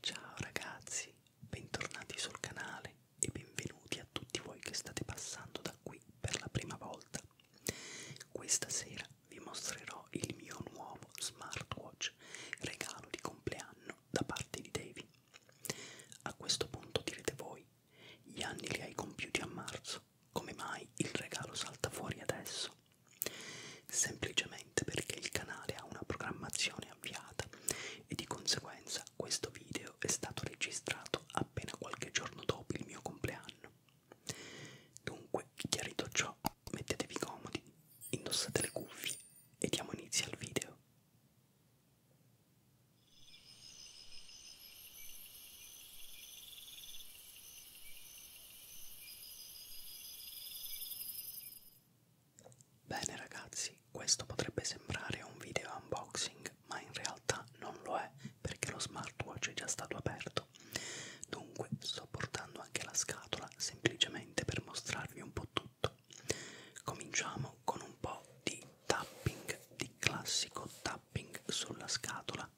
Ciao ragazzi, bentornati sul canale e benvenuti a tutti voi che state passando da qui per la prima volta. Questa sera vi mostrerò il mio nuovo smartwatch, regalo di compleanno da parte di Davy. A questo punto direte voi, gli anni li hai compiuti a marzo, come mai il regalo salta fuori adesso? semplicemente perché il canale ha una programmazione avviata e di conseguenza questo video è stato registrato appena qualche giorno dopo il mio compleanno. Dunque, chiarito ciò, mettetevi comodi, indossate le cuffie e diamo inizio al video. Bene ragazzi, questo potrebbe sembrare un video unboxing, ma in realtà non lo è perché lo smartwatch è già stato aperto. Dunque sto portando anche la scatola semplicemente per mostrarvi un po' tutto. Cominciamo con un po' di tapping, di classico tapping sulla scatola.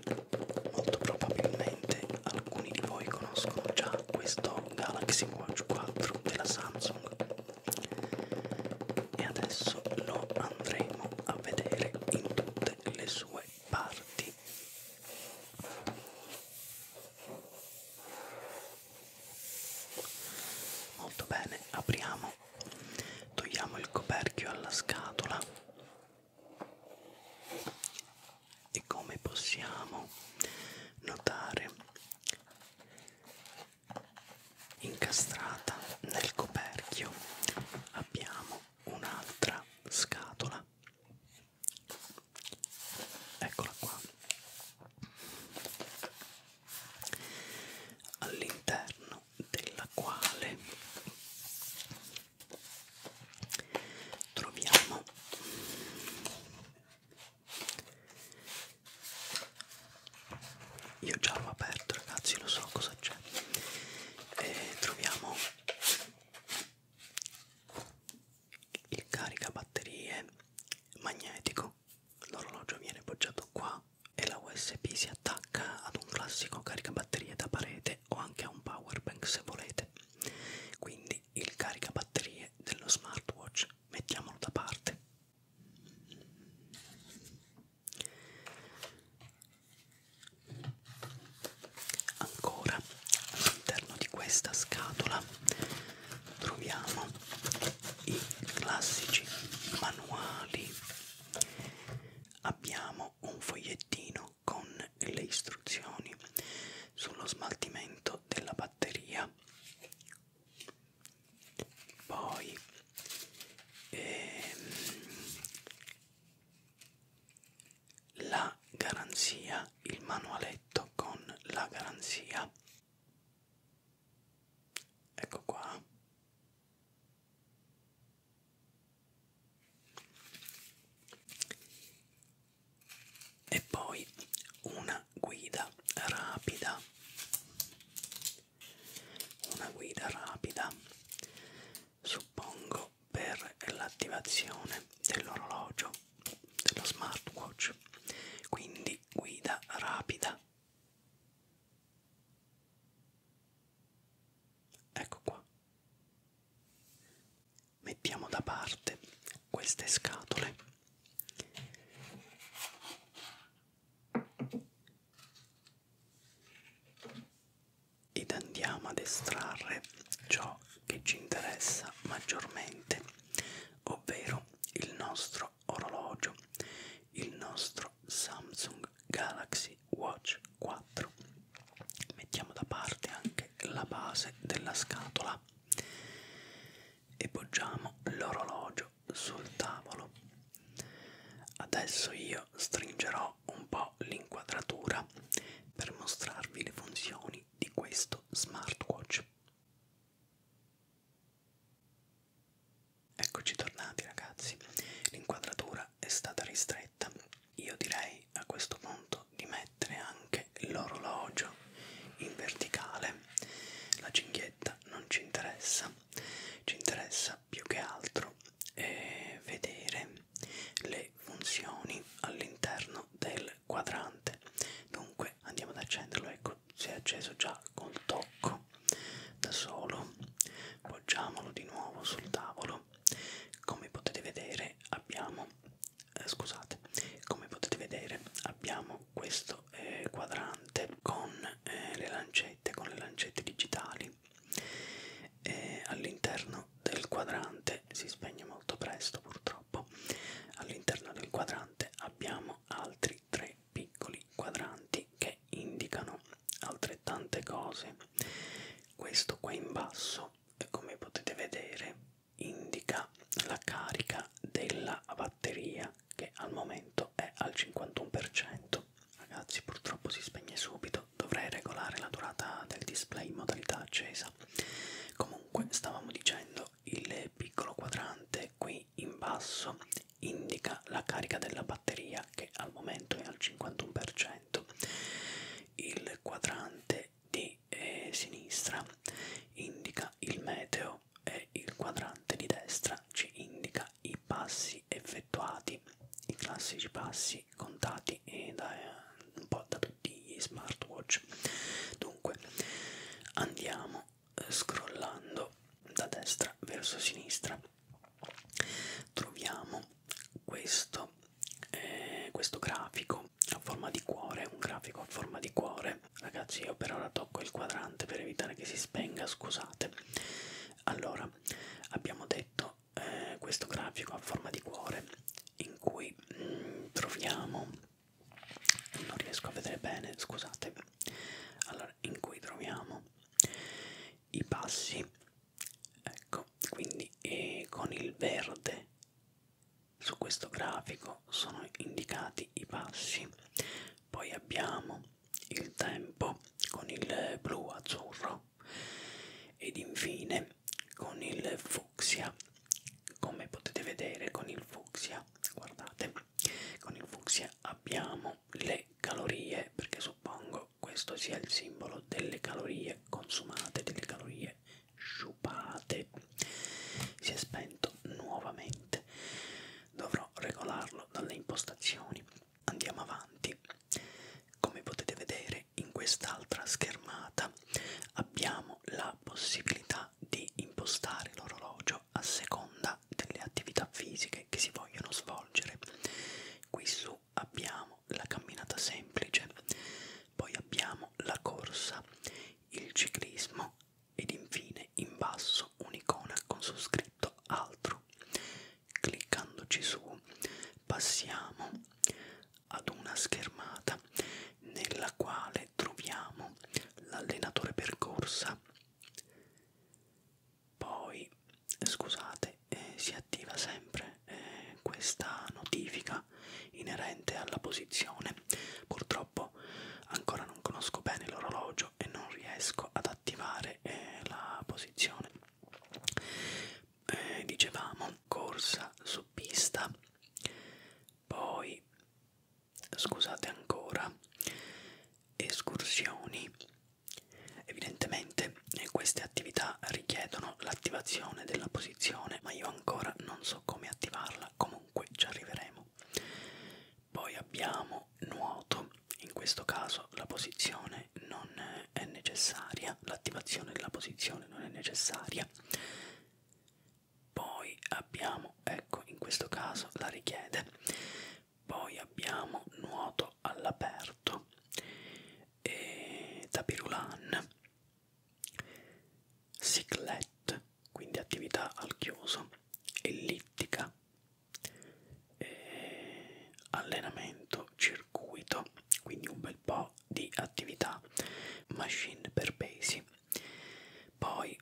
Molto probabilmente alcuni di voi conoscono già questo Galaxy Watch 4 della Samsung e adesso lo andremo a vedere in tutte le sue parti molto bene apriamo togliamo il coperchio alla scatola e come possiamo notare incastrata nel coperchio abbiamo un'altra scatola eccola qua all'interno della quale troviamo io già l'ho aperto ragazzi lo so cosa c'è e troviamo il caricabatterie magnetico l'orologio viene poggiato qua e la usb si attacca ad un classico caricabatterie da parete o anche a un power bank se volete quindi il caricabatterie dello smartwatch mettiamolo da parte ancora all'interno di questa scatola troviamo i classici manuali abbiamo un fogliettino con le istruzioni sullo smaltimento della batteria poi ehm, la garanzia, il manualetto con la garanzia. Ecco qua. E poi una guida rapida. Una guida rapida. Suppongo per l'attivazione dell'orologio, dello smartwatch, quindi guida rapida. Ecco qua. Mettiamo da parte queste scatole ed andiamo ad estrarre ciò che ci interessa maggiormente, ovvero il nostro orologio, il nostro Samsung Galaxy Watch 4. Mettiamo da parte anche la base della scatola e poggiamo l'orologio sul tavolo. Adesso io stringerò un po' l'inquadratura per mostrarvi le funzioni funzioni di questo smartwatch. Eccoci tornati ragazzi, l'inquadratura è stata ristretta, io direi a questo punto di mettere anche l'orologio in verticale, la cinghietta non ci interessa, ci interessa più che altro eh, vedere le funzioni all'interno del quadrante dunque andiamo ad accenderlo ecco si è acceso già col tocco da solo poggiamolo di nuovo sul tavolo come potete vedere abbiamo eh, scusate come potete vedere abbiamo questo eh, quadrante con eh, le lancette con le lancette digitali eh, all'interno del quadrante si spegne molto presto purtroppo all'interno del quadrante abbiamo altri tre piccoli quadranti che indicano altrettante cose questo qua in basso come potete vedere indica la carica della batteria che al momento è al 51% ragazzi purtroppo si spegne subito dovrei regolare la durata del display in modalità accesa precisa comunque stavamo dicendo il piccolo quadrante qui in basso indica la carica della batteria che al momento è al 51% il quadrante di eh, sinistra indica il meteo e il quadrante di destra ci indica i passi effettuati i classici passi tutti contati e da, un po' da tutti gli smartwatch dunque andiamo eh, scrollando da destra verso sinistra troviamo questo, eh, questo grafico a forma di cuore un grafico a forma di cuore ragazzi io per ora tocco il quadrante per evitare che si spenga scusate allora abbiamo detto eh, questo grafico a forma di cuore in cui poi mm, troviamo non riesco a vedere bene scusate allora in cui troviamo i passi ecco quindi e eh, con il verde su questo grafico sono indicati i passi poi abbiamo il tempo con il blu azzurro ed infine con il fucsia come potete vedere con il fucsia guardate con il fucsia abbiamo le calorie perché suppongo questo sia il simbolo delle calorie consumate delle calorie sciupate si è spento nuovamente dovrò regolarlo dalle impostazioni andiamo avanti come potete vedere in quest'altra schermata abbiamo la possibilità di impostare l'orologio a seconda delle attività fisiche che si vogliono svolgere. Qui su abbiamo la camminata semplice, poi abbiamo la corsa, il ciclismo ed infine in basso un'icona con su scritto altro. Cliccandoci su passiamo ad una schermata nella quale troviamo l'allenatore percorsa. Poi, scusate, eh, si attiva sempre eh, questa notifica inerente alla posizione. Purtroppo ancora non conosco bene l'orologio e non riesco ad attivare eh, la posizione eh, dicevamo corsa su pista poi scusate ancora escursioni evidentemente eh, queste attività richiedono l'attivazione della posizione ma io ancora non so come attivarla comunque ci arriveremo poi abbiamo nuoto in questo caso la posizione non è necessaria l'attivazione della posizione non è necessaria poi abbiamo ecco in questo caso la richiede poi abbiamo nuoto all'aperto e tapirulan ciclette quindi attività al chiuso ellittica e allenamento circuito quindi un bel po di attività machine per pesi, poi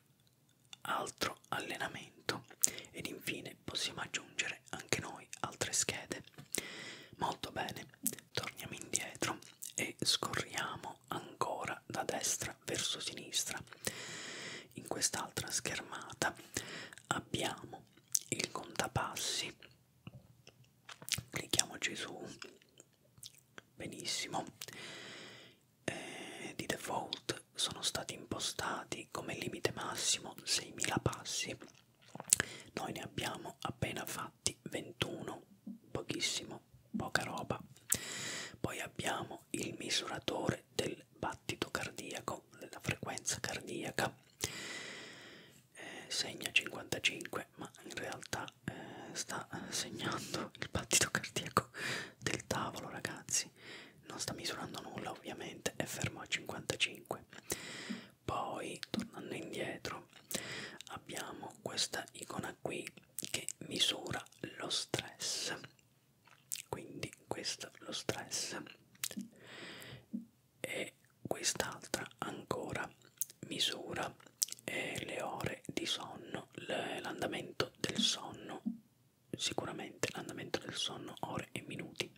altro allenamento ed infine possiamo aggiungere anche noi altre schede. Molto bene, torniamo indietro e scorriamo ancora da destra verso sinistra. In quest'altra schermata abbiamo il contapassi, clicchiamoci su Benissimo. Eh, di default sono stati impostati come limite massimo 6.000 passi. Noi ne abbiamo appena fatti 21, pochissimo, poca roba. Poi abbiamo il misuratore del battito cardiaco, della frequenza cardiaca eh, segna 55 ma in realtà eh, sta segnando il battito cardiaco del tavolo ragazzi non sta misurando nulla ovviamente è fermo a 55 poi tornando indietro abbiamo questa icona qui che misura lo stress quindi questo lo stress e quest'altra ancora misura eh, le ore di sonno, l'andamento del sonno, sicuramente l'andamento del sonno, ore e minuti.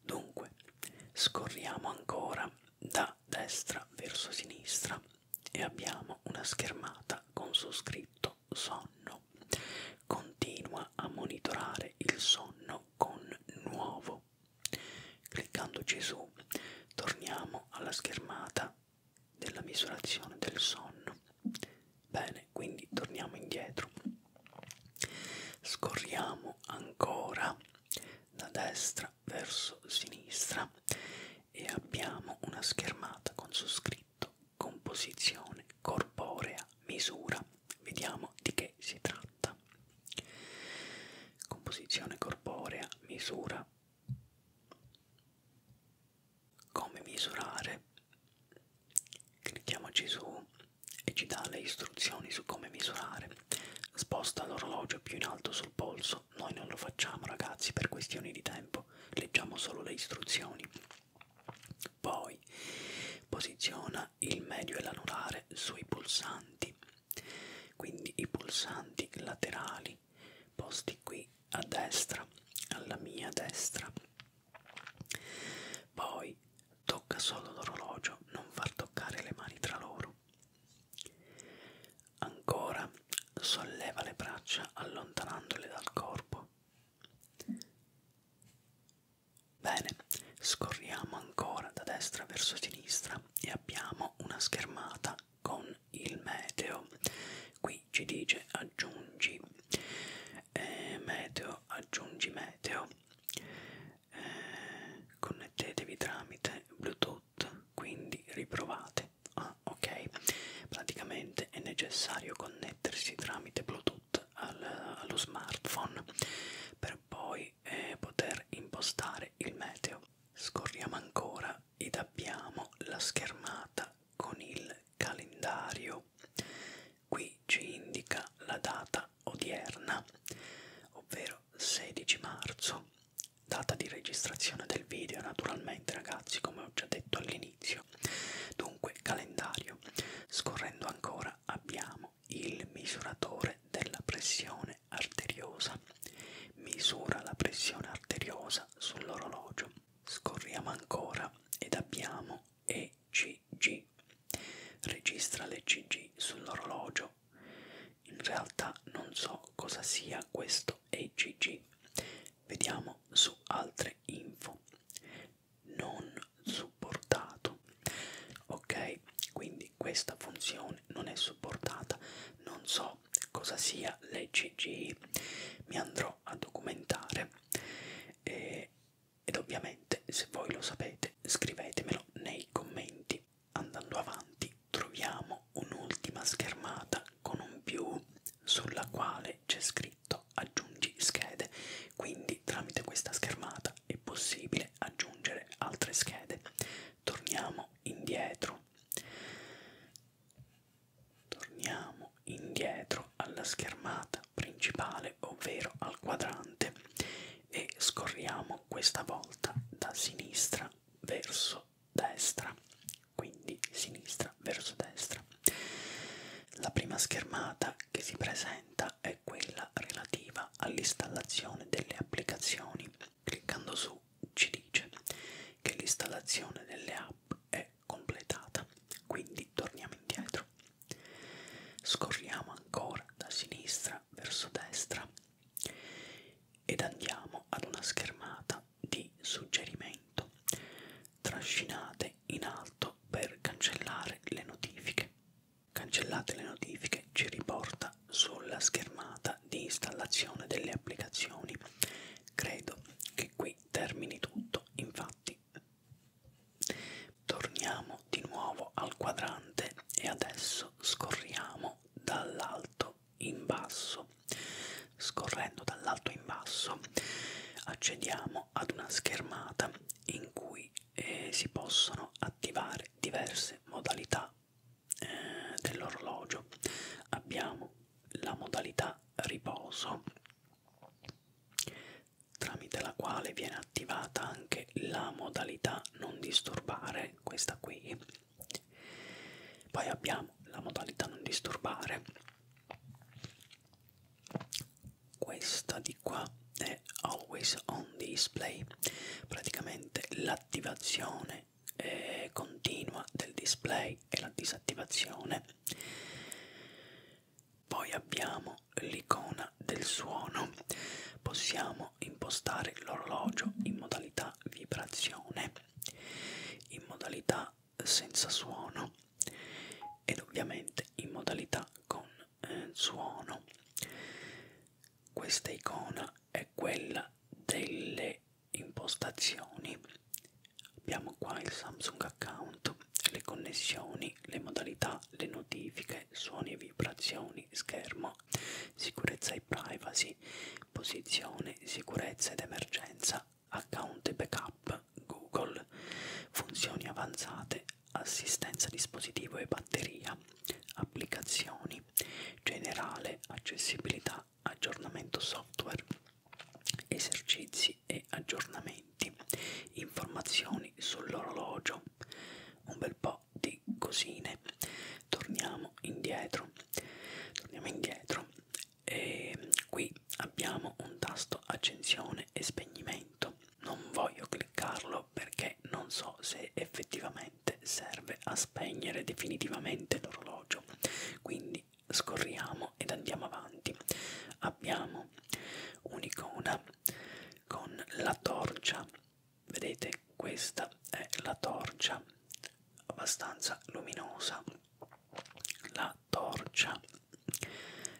Dunque, scorriamo ancora da destra verso sinistra e abbiamo una schermata con su scritto sonno. Continua a monitorare il sonno con nuovo Cliccando Gesù torniamo alla schermata della misurazione del sonno. Bene, quindi torniamo indietro. Scorriamo ancora da destra verso sinistra e abbiamo una schermata con su scritto composizione corporea misura. Vediamo di che si tratta compatta. Composizione corporea, misura. Come misurare? Clicchiamoci su e ci dà le istruzioni su come misurare. Sposta l'orologio più in alto sul polso. Noi non lo facciamo ragazzi per questioni di tempo, leggiamo solo le istruzioni. Poi posiziona il medio e l'anulare sui pulsanti quindi i pulsanti laterali posti qui a destra alla mia destra poi tocca solo l'orologio non far toccare le mani tra loro ancora solleva le braccia allontanandole dal corpo bene scorriamo ancora da destra verso sinistra e abbiamo una schermata con il meteo qui ci dice aggiungi eh, meteo aggiungi meteo eh, connettevi tramite bluetooth quindi riprovate ah ok praticamente è necessario connettersi tramite bluetooth al, allo smartphone per poi eh, poter impostare il meteo Scorriamo ancora ed abbiamo la schermata con il calendario. Qui ci indica la data odierna, ovvero 16 marzo, data di registrazione del video naturalmente ragazzi come ho già detto all'inizio. Dunque calendario. Scorrendo ancora abbiamo il misuratore della pressione pressione arteriosa. Misura la pressione arteriosa sull'orologio. Scorriamo ancora ed abbiamo ECG. Registra l'ECG sull'orologio. In realtà non so cosa sia questo ECG. Vediamo su altre info. Non supportato. Ok, quindi quindi questa funzione non è supportata non so cosa sia l'ECG mi andrò a documentare e, ed ovviamente se voi lo sapete scrivetemelo nei commenti andando avanti troviamo un'ultima schermata con un più sulla quale c'è scritto aggiungi schede quindi tramite questa schermata è possibile aggiungere altre schede torniamo indietro torniamo indietro alla schermata principale ovvero al quadrante e scorriamo questa volta da sinistra verso destra quindi sinistra verso destra la prima schermata che si presenta è quella relativa all'installazione delle applicazioni Cliccando su ci dice che l'installazione delle app è completata, quindi torniamo indietro. Scorriamo ancora da sinistra verso destra ed andiamo ad una schermata di suggerimento. Trascinate in alto per cancellare le notifiche. Cancellate le notifiche ci riporta sulla schermata di installazione delle applicazioni. Credo che qui termini tutto, infatti torniamo di nuovo al quadrante e adesso scorriamo dall'alto in basso. Scorrendo dall'alto in basso accediamo ad una schermata in cui eh, si possono attivare diverse modalità eh, dell'orologio abbiamo la modalità riposo tramite la quale viene attivata anche la modalità non disturbare questa qui poi abbiamo la modalità non disturbare questa di qua è always on display praticamente l'attivazione eh, continua del display e la disattivazione poi abbiamo l'icona del suono possiamo impostare l'orologio in modalità vibrazione in modalità senza suono ed ovviamente in modalità con eh, suono questa icona è quella delle impostazioni. Abbiamo qua il Samsung account, le connessioni, le modalità, le notifiche, suoni e vibrazioni, schermo, sicurezza e privacy, posizione, sicurezza ed emergenza, account e backup, Google, funzioni avanzate, assistenza dispositivo e batteria, applicazioni, generale, accessibilità, aggiornamento software, esercizi e aggiornamenti, informazioni sull'orologio, un bel po' di cosine. Torniamo indietro, torniamo indietro e qui abbiamo un tasto accensione e spegnimento. Non voglio cliccarlo perché non so se effettivamente solamente serve a spegnere definitivamente l'orologio. Quindi scorriamo ed andiamo avanti. Abbiamo un'icona con la torcia. Vedete, questa è la torcia abbastanza luminosa. La torcia.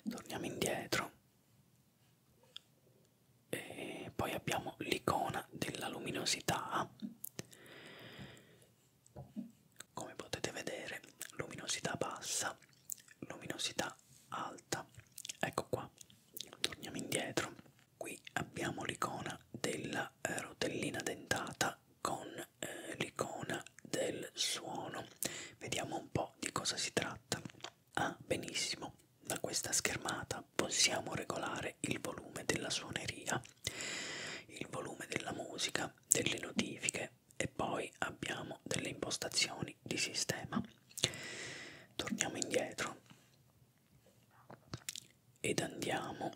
Torniamo indietro e poi abbiamo l'icona della luminosità come potete vedere luminosità bassa luminosità alta ecco qua torniamo indietro qui abbiamo l'icona della eh, rotellina dentata con eh, l'icona del suono vediamo un po di cosa si tratta ah benissimo da questa schermata possiamo regolare aumentare il volume della suoneria, il volume della musica, delle notifiche e poi abbiamo delle impostazioni di sistema. Torniamo indietro ed andiamo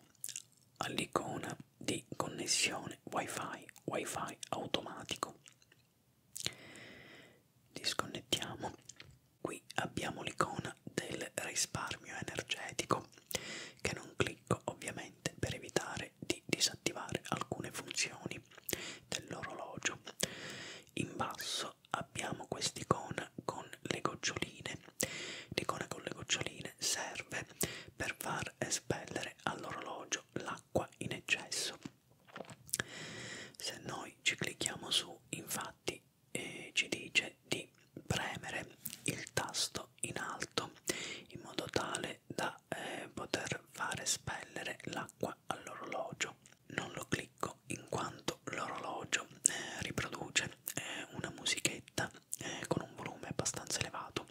all'icona di connessione wifi, wifi automatico. Disconnettiamo Qui abbiamo l'icona del risparmio energetico che non clicco ovviamente per evitare di disattivare alcune funzioni dell'orologio. In basso abbiamo quest'icona con le goccioline. L'icona con le goccioline serve per far espellere all'orologio l'acqua in eccesso. Se noi ci clicchiamo su, infatti, eh, ci dice di premere il tasto in alto in modo tale da eh, poter fare spellere l'acqua all'orologio. Non lo clicco in quanto l'orologio eh, riproduce eh, una musichetta eh, con un volume abbastanza elevato.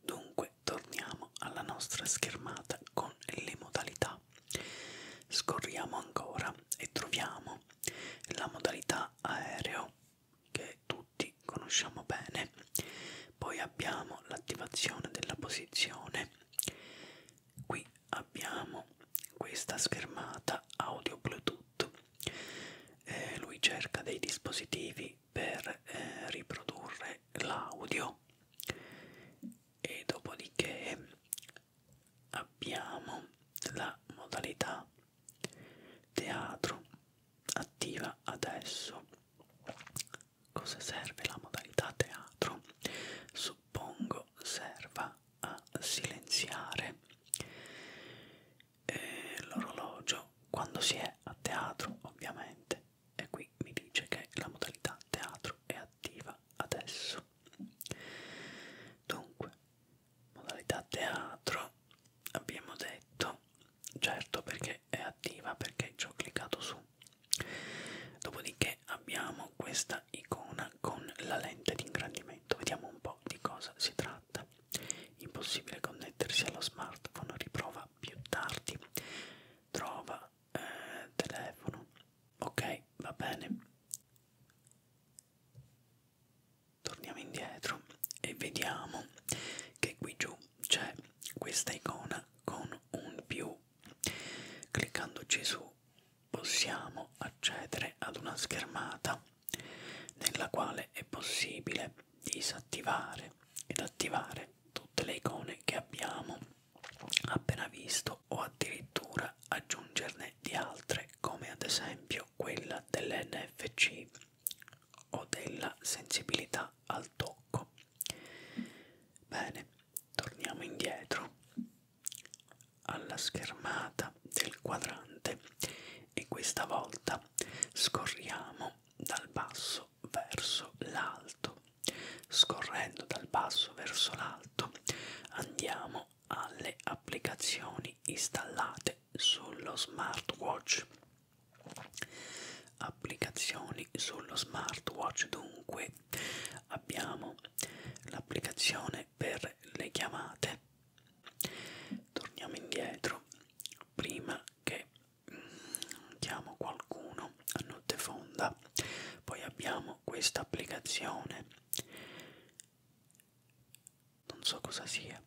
Dunque torniamo alla nostra schermata con le modalità. Scorriamo ancora e troviamo abbiamo la modalità aereo che tutti conosciamo bene, poi abbiamo l'attivazione della posizione, qui abbiamo questa schermata audio Bluetooth, eh, lui cerca dei dispositivi per eh, riprodurre l'audio e dopodiché abbiamo la modalità teatro attiva adesso cosa serve la modalità teatro suppongo serva a silenziare eh, l'orologio quando si è a teatro ovviamente e qui mi dice che la modalità teatro è attiva adesso dunque modalità teatro abbiamo detto certo perché è attiva perché ci ho cliccato su dopodiché abbiamo questa icona con la lente di ingrandimento vediamo un po' di cosa si tratta impossibile connettersi allo smartphone riprova più tardi trova eh, telefono ok va bene torniamo indietro e vediamo che qui giù c'è questa icona con un più cliccandoci su possiamo accedere ad una schermata nella quale è possibile disattivare ed attivare tutte le icone che abbiamo appena visto o addirittura aggiungerne di altre come ad esempio quella dell'NFC o della sensibilità al tocco. Bene, torniamo indietro alla schermata del quadrante e questa volta scorriamo dal basso verso l'alto. Scorrendo dal basso verso l'alto andiamo Passiamo alle applicazioni installate sullo smartwatch. Applicazioni sullo smartwatch dunque abbiamo l'applicazione per le chiamate. Torniamo indietro prima che mm, chiamo qualcuno a notte fonda. Poi abbiamo questa applicazione non so cosa sia,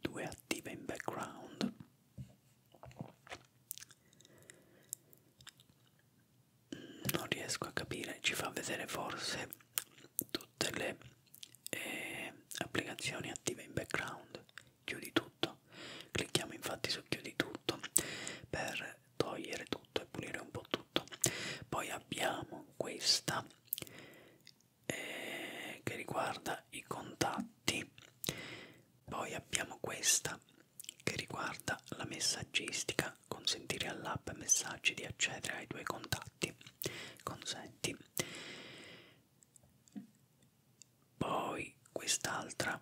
due attive in background. Non riesco a capire, ci fa vedere forse tutte le eh, applicazioni attive in background. Chiudi tutto, clicchiamo infatti su chiudi tutto per togliere tutto e pulire un po' tutto. Poi abbiamo questa eh, che riguarda i contatti poi abbiamo questa che riguarda la messaggistica consentire all'app messaggi di accedere ai tuoi contatti consenti poi quest'altra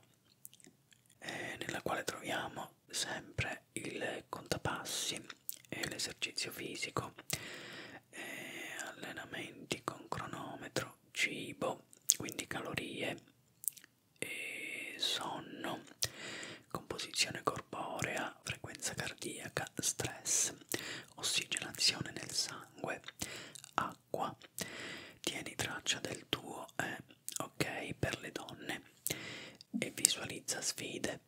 eh, nella quale troviamo sempre c'è il contapassi e l'esercizio fisico, e allenamenti con cronometro, cibo, quindi calorie e sonno, composizione corporea, frequenza cardiaca, stress, ossigenazione nel sangue, acqua. Tieni traccia del tuo eh, ok per le donne e visualizza sfide.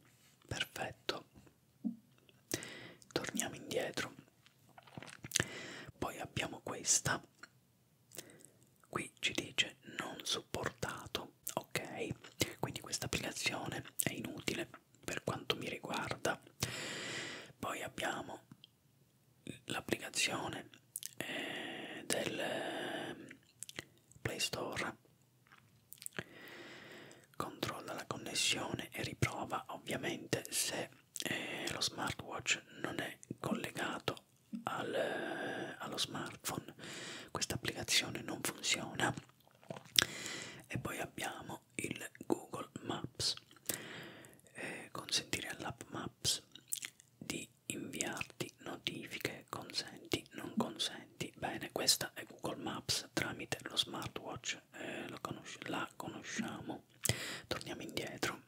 Perfetto torniamo indietro poi abbiamo questa qui ci dice non supportato ok quindi questa applicazione è inutile per quanto mi riguarda poi abbiamo l'applicazione eh, del play store Controlla la connessione e riprova ovviamente se eh, lo smartwatch non è collegato al, eh, allo smartphone. Questa applicazione non funziona. E poi abbiamo il Google Maps. Eh, consentire all'app Maps di inviarti notifiche, consenti, non consenti oggetti. Bene, questa è Google Maps tramite lo smartwatch, eh, lo conosci la conosciamo. Torniamo indietro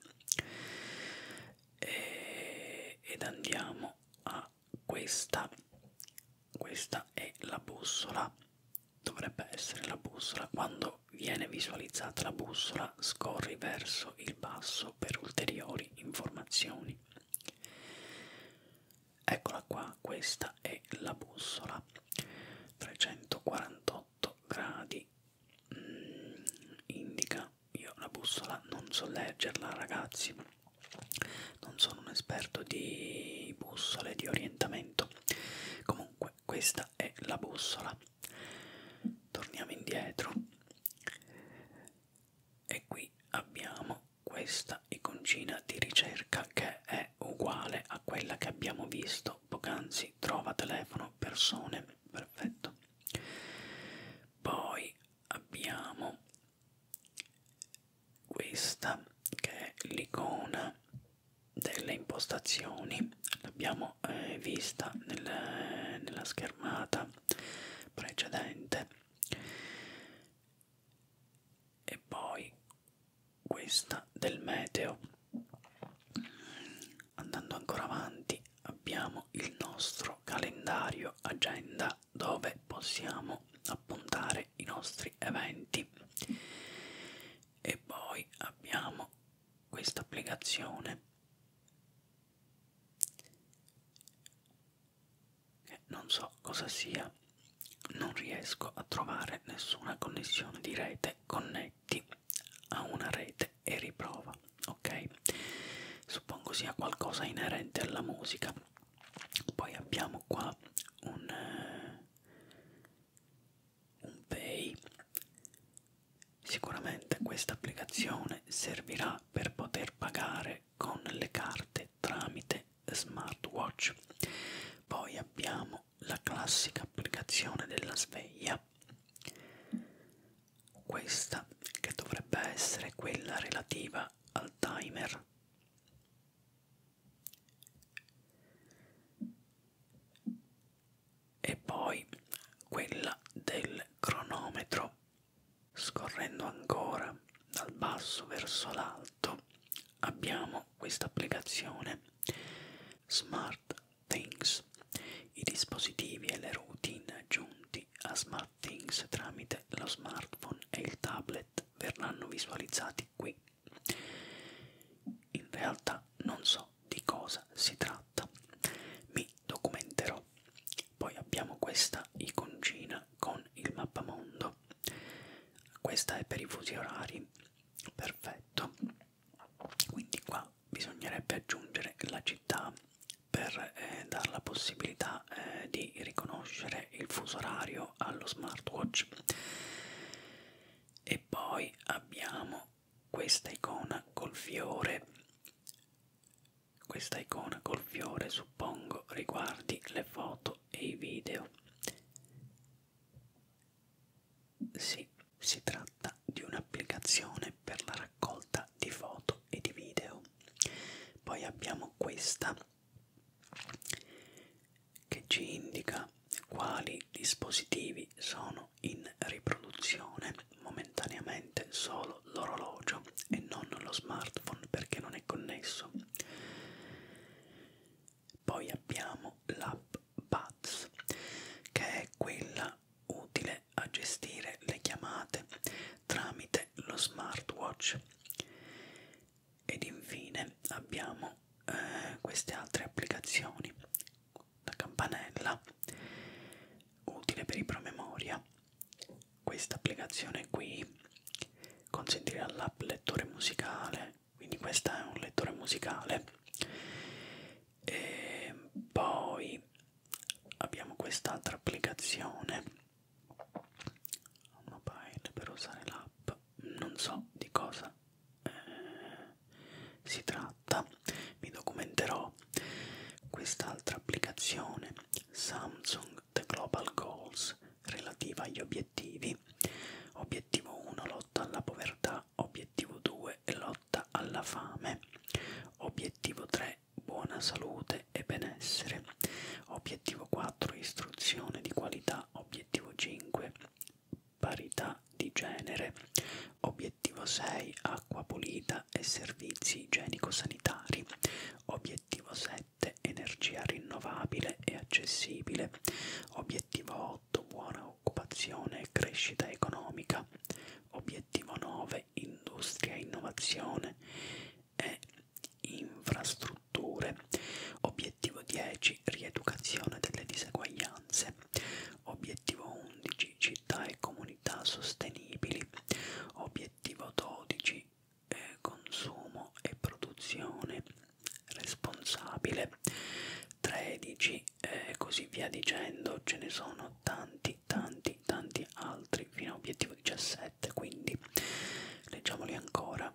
e ed andiamo a questa. Questa è la bussola, dovrebbe essere la bussola. Quando viene visualizzata la bussola, scorri verso il basso per ulteriori informazioni. Eccola qua, questa è la bussola. 348 gradi. Mm, indica, io la bussola non so leggerla ragazzi, non sono un esperto di bussole, di orientamento. Comunque questa è la bussola. Torniamo indietro e qui abbiamo questa iconcina di ricerca che è uguale a quella che abbiamo visto poc'anzi, trova telefono, persone, perfetto. Poi abbiamo questa che è l'icona delle impostazioni, l'abbiamo eh, vista nel, nella schermata precedente e poi questa del meteo andando ancora avanti abbiamo il nostro calendario agenda dove possiamo appuntare i nostri eventi e poi abbiamo questa applicazione eh, non so cosa sia, non riesco a trovare nessuna connessione di rete, connetti a una rete e riprova, ok? Suppongo sia qualcosa inerente alla musica. Poi abbiamo qua un, eh, un pay. Sicuramente questa applicazione servirà per poter pagare con le carte tramite smartwatch. Poi abbiamo la classica applicazione della sveglia, questa che dovrebbe essere quella relativa al timer. E poi quella del cronometro. Scorrendo ancora dal basso verso l'alto abbiamo questa applicazione Smart Things, i dispositivi e le routine giunti a Smart Things tramite lo smartphone e il tablet verranno visualizzati qui. In realtà non so di cosa si tratta, mi documenterò. Poi abbiamo questa iconcina con il mappamondo perfetto questa è per i fusi orari perfetto quindi qua bisognerebbe aggiungere la città per eh, dare la possibilità eh, di riconoscere il fuso orario allo smartwatch e poi abbiamo questa icona col fiore questa icona col fiore suppongo riguardi le foto foto e i video. Sì, si tratta di un'applicazione per la raccolta di foto e di video. Poi abbiamo questa che ci indica quali dispositivi sono in riproduzione momentaneamente solo l'orologio e non lo smartphone perché non è connesso poi abbiamo l'app Buds, che è quella utile a gestire le chiamate tramite lo smartwatch. Ed infine abbiamo eh, queste altre applicazioni, la campanella, utile per i promemoria, questa applicazione qui consentire all'app lettore musicale quindi questo è un lettore musicale e poi abbiamo quest'altra applicazione mobile per usare l'app non so di cosa eh, si tratta mi documenterò quest'altra applicazione Samsung The Global Goals relativa agli obiettivi. Obiettivo 1 lotta alla povertà, obiettivo 2 lotta alla fame, obiettivo 3 buona salute e benessere, obiettivo 4 istruzione di qualità, obiettivo 5 parità di genere, obiettivo 6 acqua pulita e servizi igienico-sanitari, obiettivo 7 7 energia rinnovabile e accessibile. Obiettivo 8 buona occupazione e crescita economica. Obiettivo 9 industria e innovazione e infrastrutture. Obiettivo 10 rieducazione delle diseguaglianze. Obiettivo 11 città e comunità sostenibili. Obiettivo 12 eh, consumo e produzione responsabile 13 e eh, così via dicendo ce ne sono tanti tanti tanti altri fino a obiettivo 17 quindi leggiamoli ancora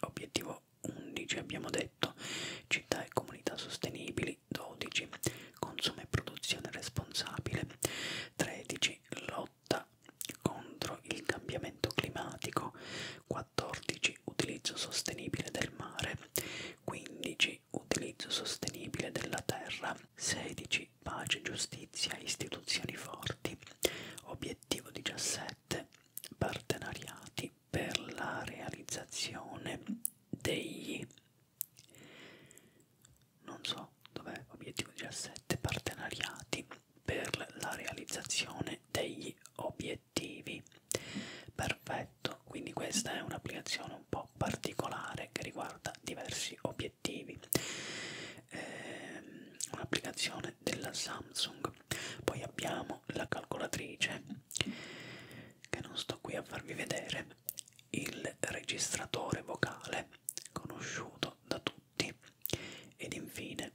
obiettivo 11 abbiamo detto città e comunità sostenibili 12 consumo e produzione responsabile 13 lotta contro il cambiamento climatico, 14 utilizzo sostenibile del mare, 15 utilizzo sostenibile della terra, 16 pace, giustizia, istituzioni forti, obiettivo 17 partenariati per la realizzazione degli non so dov'è obiettivo 17 partenariati per la realizzazione degli obiettivi perfetto quindi questa è un'applicazione un po' particolare che riguarda diversi obiettivi ehm, un'applicazione della Samsung poi abbiamo la calcolatrice che non sto qui a farvi vedere il registratore vocale conosciuto da tutti ed infine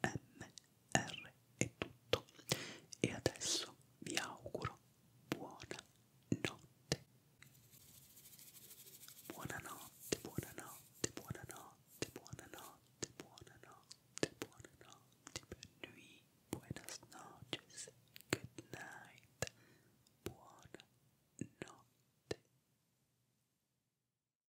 ASMR è tutto e adesso vi auguro buona notte. Buonanotte, buonanotte, buonanotte, buonanotte, buonanotte, buonanotte per noi. Buenas noches, good night, buona notte.